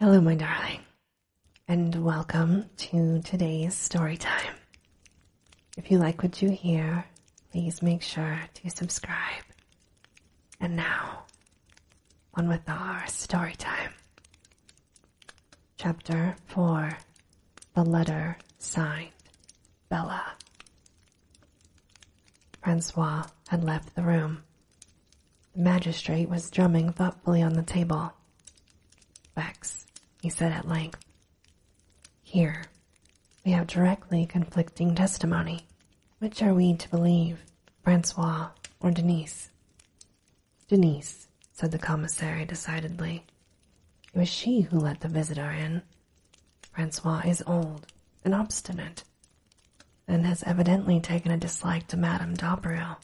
Hello, my darling, and welcome to today's story time. If you like what you hear, please make sure to subscribe. And now, on with our story time. Chapter 4 The Letter Signed Bella. Francois had left the room the magistrate was drumming thoughtfully on the table. Bex, he said at length, here we have directly conflicting testimony. Which are we to believe, Francois or Denise? Denise, said the commissary decidedly. It was she who let the visitor in. Francois is old and obstinate and has evidently taken a dislike to Madame D'Abreu.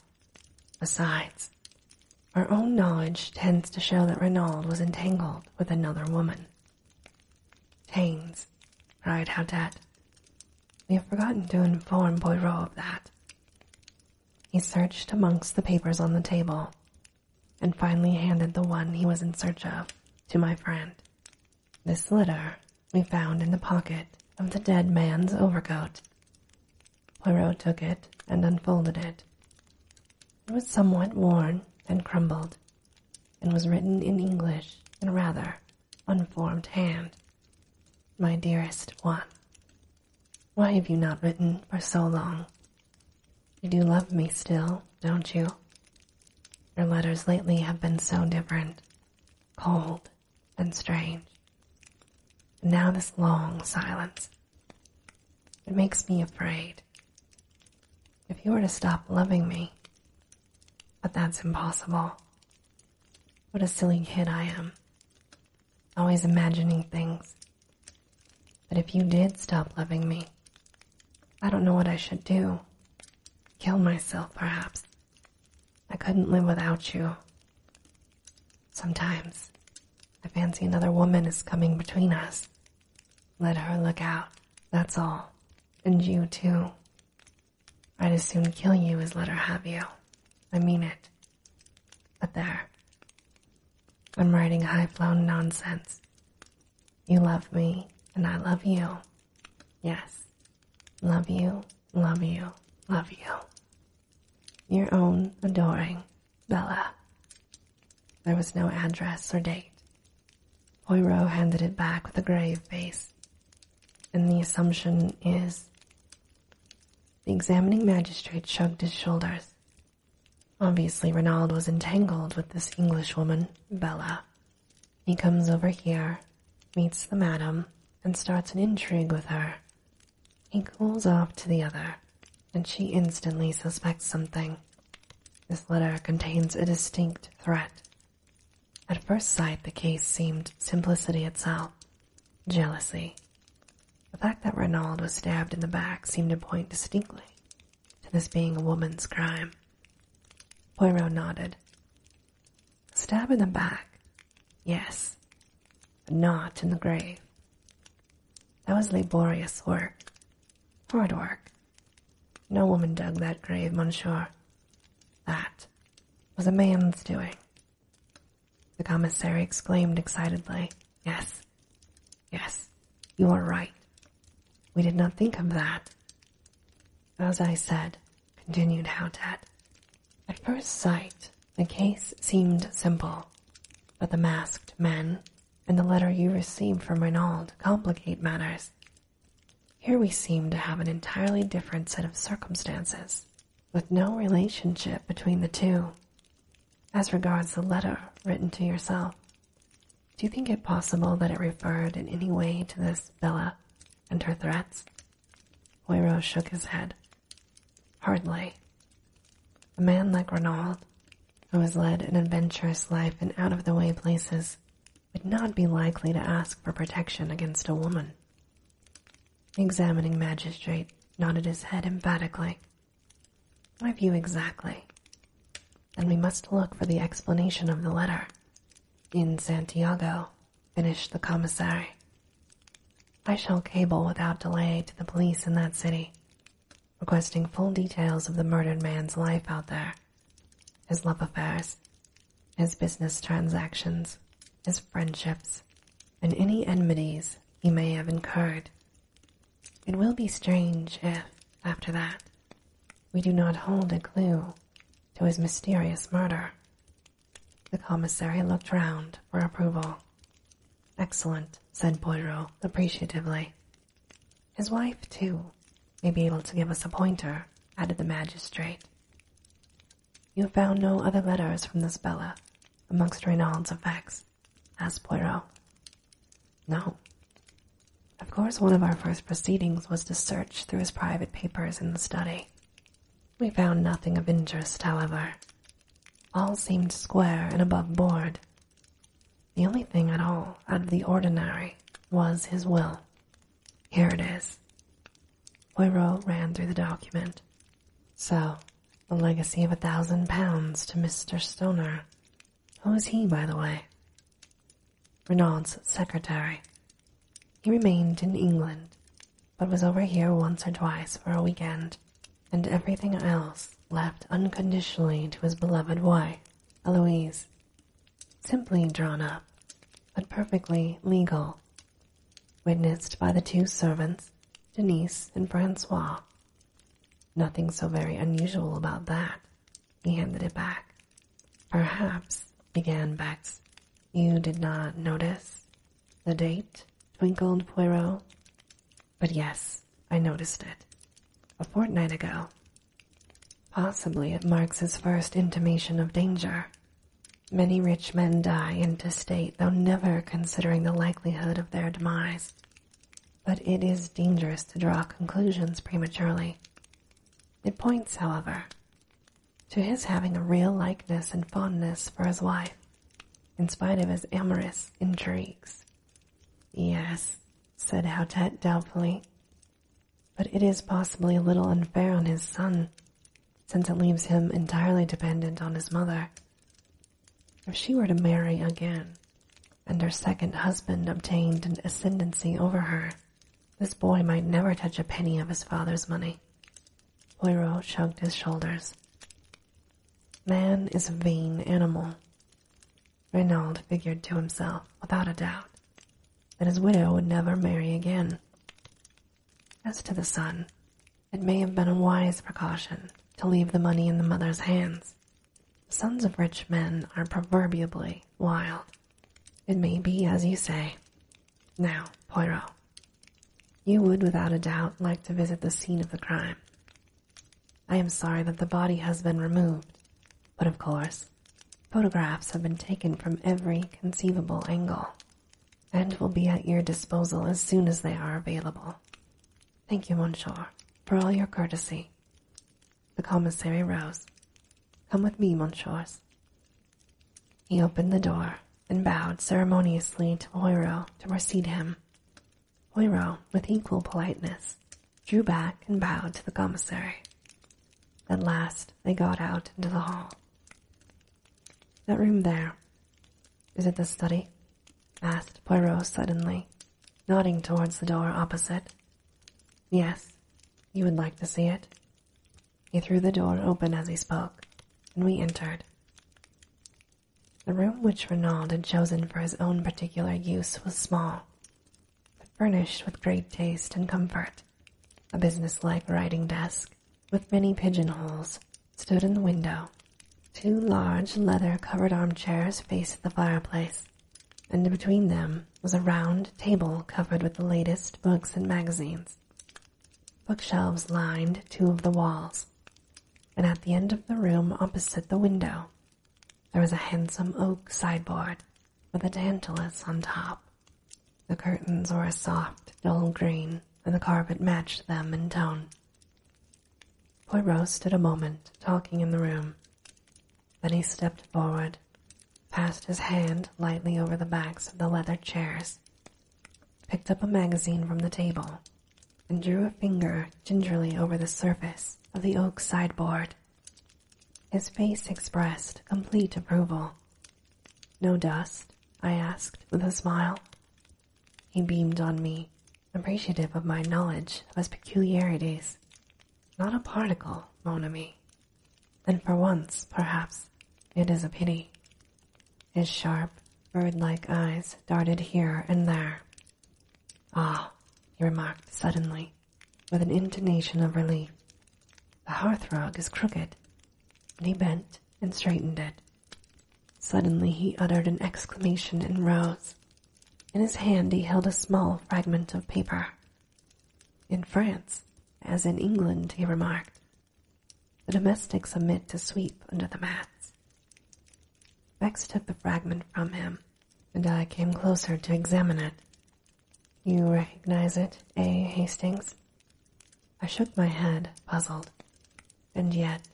Besides, our own knowledge tends to show that Reynald was entangled with another woman. Haines, cried Haudet. We have forgotten to inform Poirot of that. He searched amongst the papers on the table, and finally handed the one he was in search of to my friend, this letter we found in the pocket of the dead man's overcoat. Poirot took it and unfolded it. It was somewhat worn and crumbled, and was written in English in a rather unformed hand. My dearest one, why have you not written for so long? You do love me still, don't you? Your letters lately have been so different cold, and strange. now this long silence. It makes me afraid. If you were to stop loving me, but that's impossible. What a silly kid I am. Always imagining things. But if you did stop loving me, I don't know what I should do. Kill myself, perhaps. I couldn't live without you. Sometimes I fancy another woman is coming between us. Let her look out, that's all. And you too. I'd as soon kill you as let her have you. I mean it. But there. I'm writing high flown nonsense. You love me, and I love you, Yes. Love you, love you, love you. Your own adoring Bella. There was no address or date. Poirot handed it back with a grave face, and the assumption is. The examining magistrate shrugged his shoulders. Obviously, Renald was entangled with this Englishwoman, Bella, he comes over here, meets the madam, and starts an intrigue with her. He calls off to the other, and she instantly suspects something. This letter contains a distinct threat. At first sight, the case seemed simplicity itself jealousy. The fact that Renaud was stabbed in the back seemed to point distinctly to this being a woman's crime. Poirot nodded. Stab in the back. Yes. A knot in the grave. That was laborious work. Hard work. No woman dug that grave, monsieur. That was a man's doing. The commissary exclaimed excitedly. Yes. Yes. You are right. We did not think of that. As I said, continued Howdat, at first sight the case seemed simple, but the masked men and the letter you received from Reynald complicate matters. Here we seem to have an entirely different set of circumstances, with no relationship between the two. As regards the letter written to yourself, do you think it possible that it referred in any way to this Bella and her threats? Wiro shook his head. Hardly. A man like Renaud, who has led an adventurous life in out of the way places, would not be likely to ask for protection against a woman. The examining magistrate nodded his head emphatically. My view exactly? Then we must look for the explanation of the letter. In Santiago, finished the commissary. I shall cable without delay to the police in that city, requesting full details of the murdered man's life out there, his love affairs, his business transactions, his friendships, and any enmities he may have incurred. It will be strange if, after that, we do not hold a clue to his mysterious murder. The commissary looked round for approval. Excellent, said Poirot appreciatively. His wife, too, may be able to give us a pointer, added the magistrate. You found no other letters from this Bella amongst Reynald's effects? asked Poirot. No. Of course, one of our first proceedings was to search through his private papers in the study we found nothing of interest, however. All seemed square and above board. The only thing at all out of the ordinary was his will. Here it is. Poirot ran through the document. So, a legacy of a thousand pounds to Mr. Stoner. Who is he, by the way? Renaud's secretary, he remained in England, but was over here once or twice for a weekend, and everything else left unconditionally to his beloved wife, Eloise. Simply drawn up, but perfectly legal. Witnessed by the two servants, Denise and Francois. Nothing so very unusual about that. He handed it back. Perhaps, began Bex, you did not notice the date, twinkled Poirot. But yes, I noticed it. A fortnight ago. Possibly it marks his first intimation of danger. Many rich men die intestate, though never considering the likelihood of their demise. But it is dangerous to draw conclusions prematurely. It points, however, to his having a real likeness and fondness for his wife, in spite of his amorous intrigues. Yes, said Hautet doubtfully, but it is possibly a little unfair on his son, since it leaves him entirely dependent on his mother. If she were to marry again, and her second husband obtained an ascendancy over her, this boy might never touch a penny of his father's money. Poirot shrugged his shoulders. Man is a vain animal. Reynald figured to himself, without a doubt, that his widow would never marry again. As to the son, it may have been a wise precaution to leave the money in the mother's hands. sons of rich men are proverbially wild. It may be as you say, now, Poirot, you would without a doubt like to visit the scene of the crime. I am sorry that the body has been removed, but of course, photographs have been taken from every conceivable angle and will be at your disposal as soon as they are available. Thank you, Monsieur, for all your courtesy. The commissary rose Come with me, monsieurs. He opened the door and bowed ceremoniously to Poirot to precede him. Poirot, with equal politeness, drew back and bowed to the commissary. At last they got out into the hall. That room there. Is it the study? asked Poirot suddenly, nodding towards the door opposite. Yes, you would like to see it? He threw the door open as he spoke, and we entered. The room which Renaud had chosen for his own particular use was small, but furnished with great taste and comfort. A business-like writing desk, with many pigeonholes, stood in the window. Two large leather-covered armchairs faced the fireplace, and between them was a round table covered with the latest books and magazines. Bookshelves lined two of the walls, and at the end of the room opposite the window there was a handsome oak sideboard with a tantalus on top. The curtains were a soft, dull green, and the carpet matched them in tone. Poirot stood a moment, talking in the room. Then he stepped forward passed his hand lightly over the backs of the leather chairs, picked up a magazine from the table, and drew a finger gingerly over the surface of the oak sideboard. His face expressed complete approval. No dust? I asked with a smile. He beamed on me, appreciative of my knowledge of his peculiarities. Not a particle, mon ami, and for once, perhaps, it is a pity. His sharp, bird-like eyes darted here and there. Ah, he remarked suddenly, with an intonation of relief. The hearthrug is crooked. And he bent and straightened it. Suddenly he uttered an exclamation and rose. In his hand he held a small fragment of paper. In France, as in England, he remarked, the domestics submit to sweep under the mats. Bex took the fragment from him, and I came closer to examine it. You recognize it, A. Eh, Hastings? I shook my head, puzzled. And yet,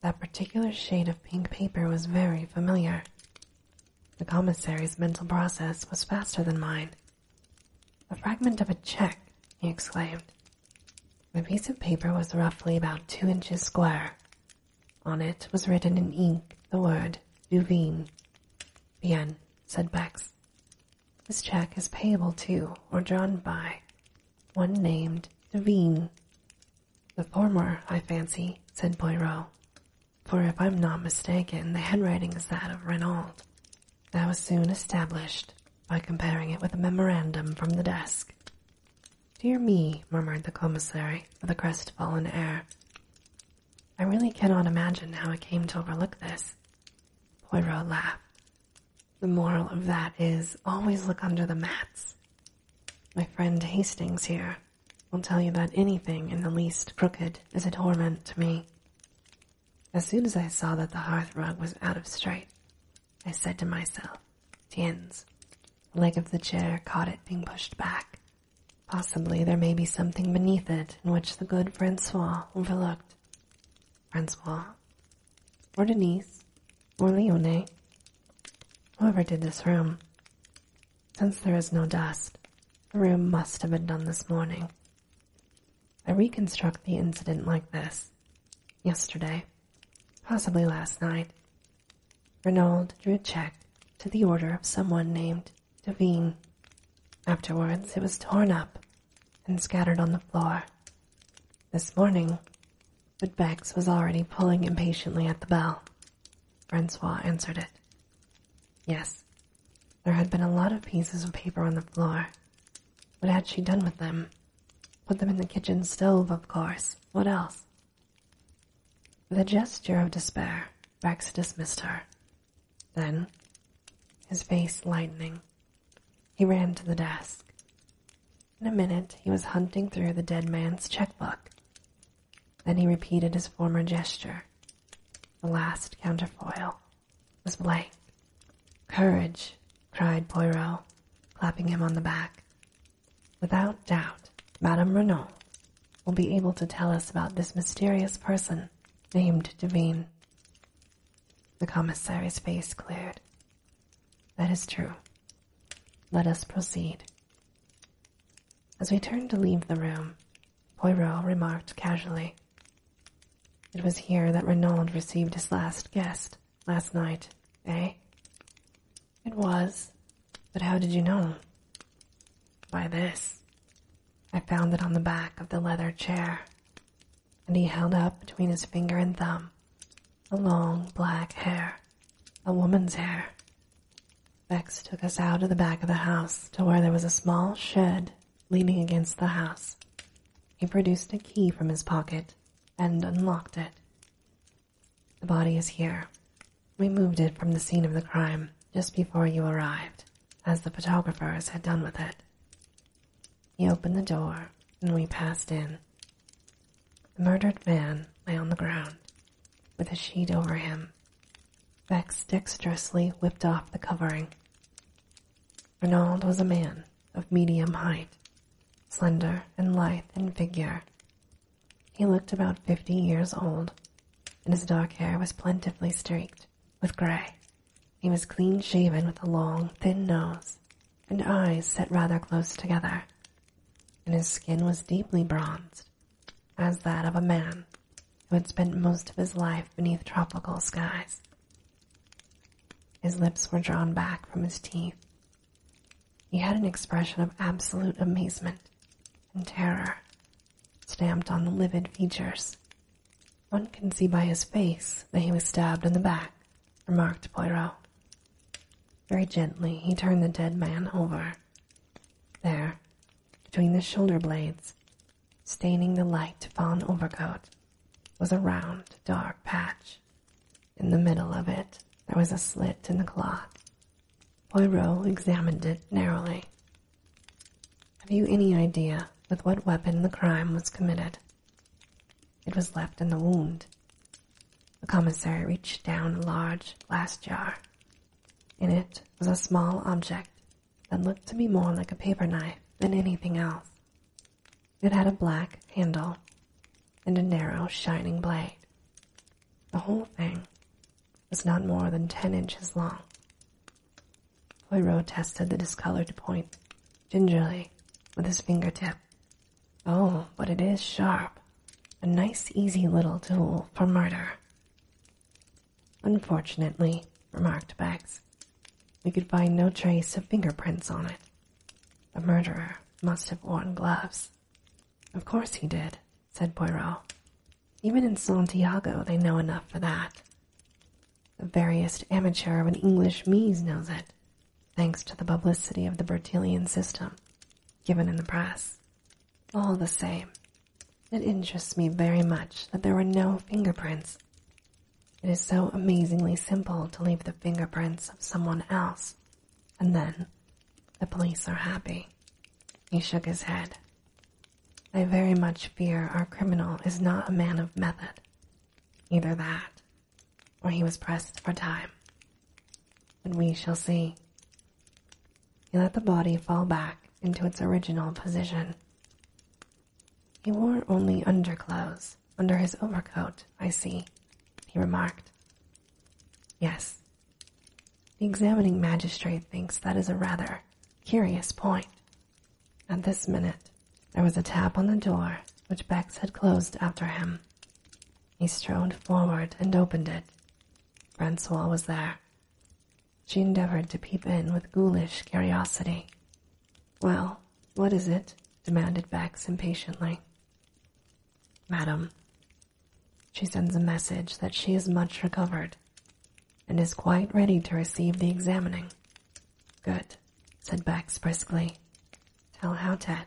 that particular shade of pink paper was very familiar. The commissary's mental process was faster than mine, a fragment of a check, he exclaimed. The piece of paper was roughly about two inches square. On it was written in ink the word Duveen. Bien, said Bex. This check is payable to or drawn by one named Duveen. The former, I fancy, said Poirot, for if I'm not mistaken, the handwriting is that of Renault, that was soon established by comparing it with a memorandum from the desk. Dear me, murmured the commissary with a crestfallen air. I really cannot imagine how it came to overlook this. Poirot laughed. The moral of that is always look under the mats. My friend Hastings here will tell you that anything in the least crooked is a torment to me. As soon as I saw that the hearth rug was out of sight, I said to myself, Tiens, leg of the chair caught it being pushed back. Possibly there may be something beneath it in which the good Francois overlooked. Francois, or Denise, or Leone, whoever did this room. Since there is no dust, the room must have been done this morning, I reconstruct the incident like this. Yesterday, possibly last night, Renault drew a check to the order of someone named Devine. Afterwards, it was torn up and scattered on the floor. This morning, but Bex was already pulling impatiently at the bell. Francois answered it. Yes, there had been a lot of pieces of paper on the floor. What had she done with them? Put them in the kitchen stove, of course. What else? The gesture of despair, Rex dismissed her. Then, his face lightening, he ran to the desk. In a minute, he was hunting through the dead man's checkbook. Then he repeated his former gesture, the last counterfoil. Miss Blake, Courage, cried Poirot, clapping him on the back. Without doubt, Madame Renault will be able to tell us about this mysterious person named Devine. The commissary's face cleared. That is true. Let us proceed. As we turned to leave the room, Poirot remarked casually, it was here that Renaud received his last guest last night, eh? It was, but how did you know? By this. I found it on the back of the leather chair, and he held up between his finger and thumb a long black hair, a woman's hair. Bex took us out of the back of the house to where there was a small shed leaning against the house. He produced a key from his pocket and unlocked it. The body is here. We moved it from the scene of the crime just before you arrived, as the photographers had done with it. He opened the door, and we passed in. The murdered man lay on the ground, with a sheet over him, Vex dexterously whipped off the covering. Renaud was a man of medium height, slender and lithe in figure. He looked about fifty years old, and his dark hair was plentifully streaked with gray. He was clean shaven with a long, thin nose, and eyes set rather close together, and his skin was deeply bronzed, as that of a man who had spent most of his life beneath tropical skies. His lips were drawn back from his teeth. He had an expression of absolute amazement and terror stamped on the livid features. One can see by his face that he was stabbed in the back, remarked Poirot. Very gently, he turned the dead man over. There, between the shoulder blades, Staining the light fawn overcoat was a round, dark patch. In the middle of it, there was a slit in the cloth. Poirot examined it narrowly. Have you any idea with what weapon the crime was committed? It was left in the wound. The commissary reached down a large glass jar. In it was a small object that looked to me more like a paper knife than anything else. It had a black handle and a narrow, shining blade. The whole thing was not more than ten inches long. Poirot tested the discolored point gingerly with his fingertip. Oh, but it is sharp. A nice, easy little tool for murder. Unfortunately, remarked Beggs, we could find no trace of fingerprints on it. The murderer must have worn gloves. Of course he did, said Poirot. Even in Santiago, they know enough for that. The veriest amateur of an English mise knows it, thanks to the publicity of the Bertillon system, given in the press. All the same, it interests me very much that there were no fingerprints. It is so amazingly simple to leave the fingerprints of someone else, and then the police are happy. He shook his head. I very much fear our criminal is not a man of method. Either that, or he was pressed for time. But we shall see. He let the body fall back into its original position. He wore only underclothes under his overcoat, I see, he remarked. Yes. The examining magistrate thinks that is a rather curious point. At this minute, there was a tap on the door which Bex had closed after him. He strode forward and opened it. Francois was there. She endeavored to peep in with ghoulish curiosity. Well, what is it? demanded Bax impatiently. Madam, she sends a message that she is much recovered and is quite ready to receive the examining. Good, said Bax briskly. Tell Hautet,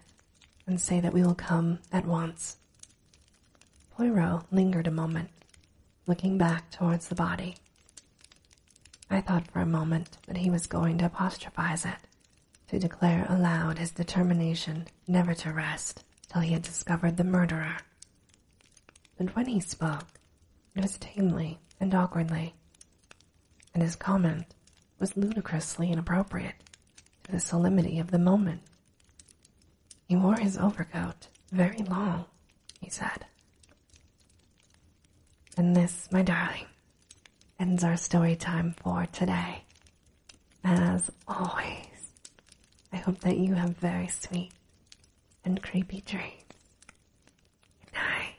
and say that we will come at once. Poirot lingered a moment, looking back towards the body. I thought for a moment that he was going to apostrophize it, to declare aloud his determination never to rest till he had discovered the murderer. But when he spoke, it was tamely and awkwardly, and his comment was ludicrously inappropriate to the solemnity of the moment. He wore his overcoat very long he said. And this, my darling, ends our story time for today. As always, I hope that you have very sweet and creepy dreams. Good night.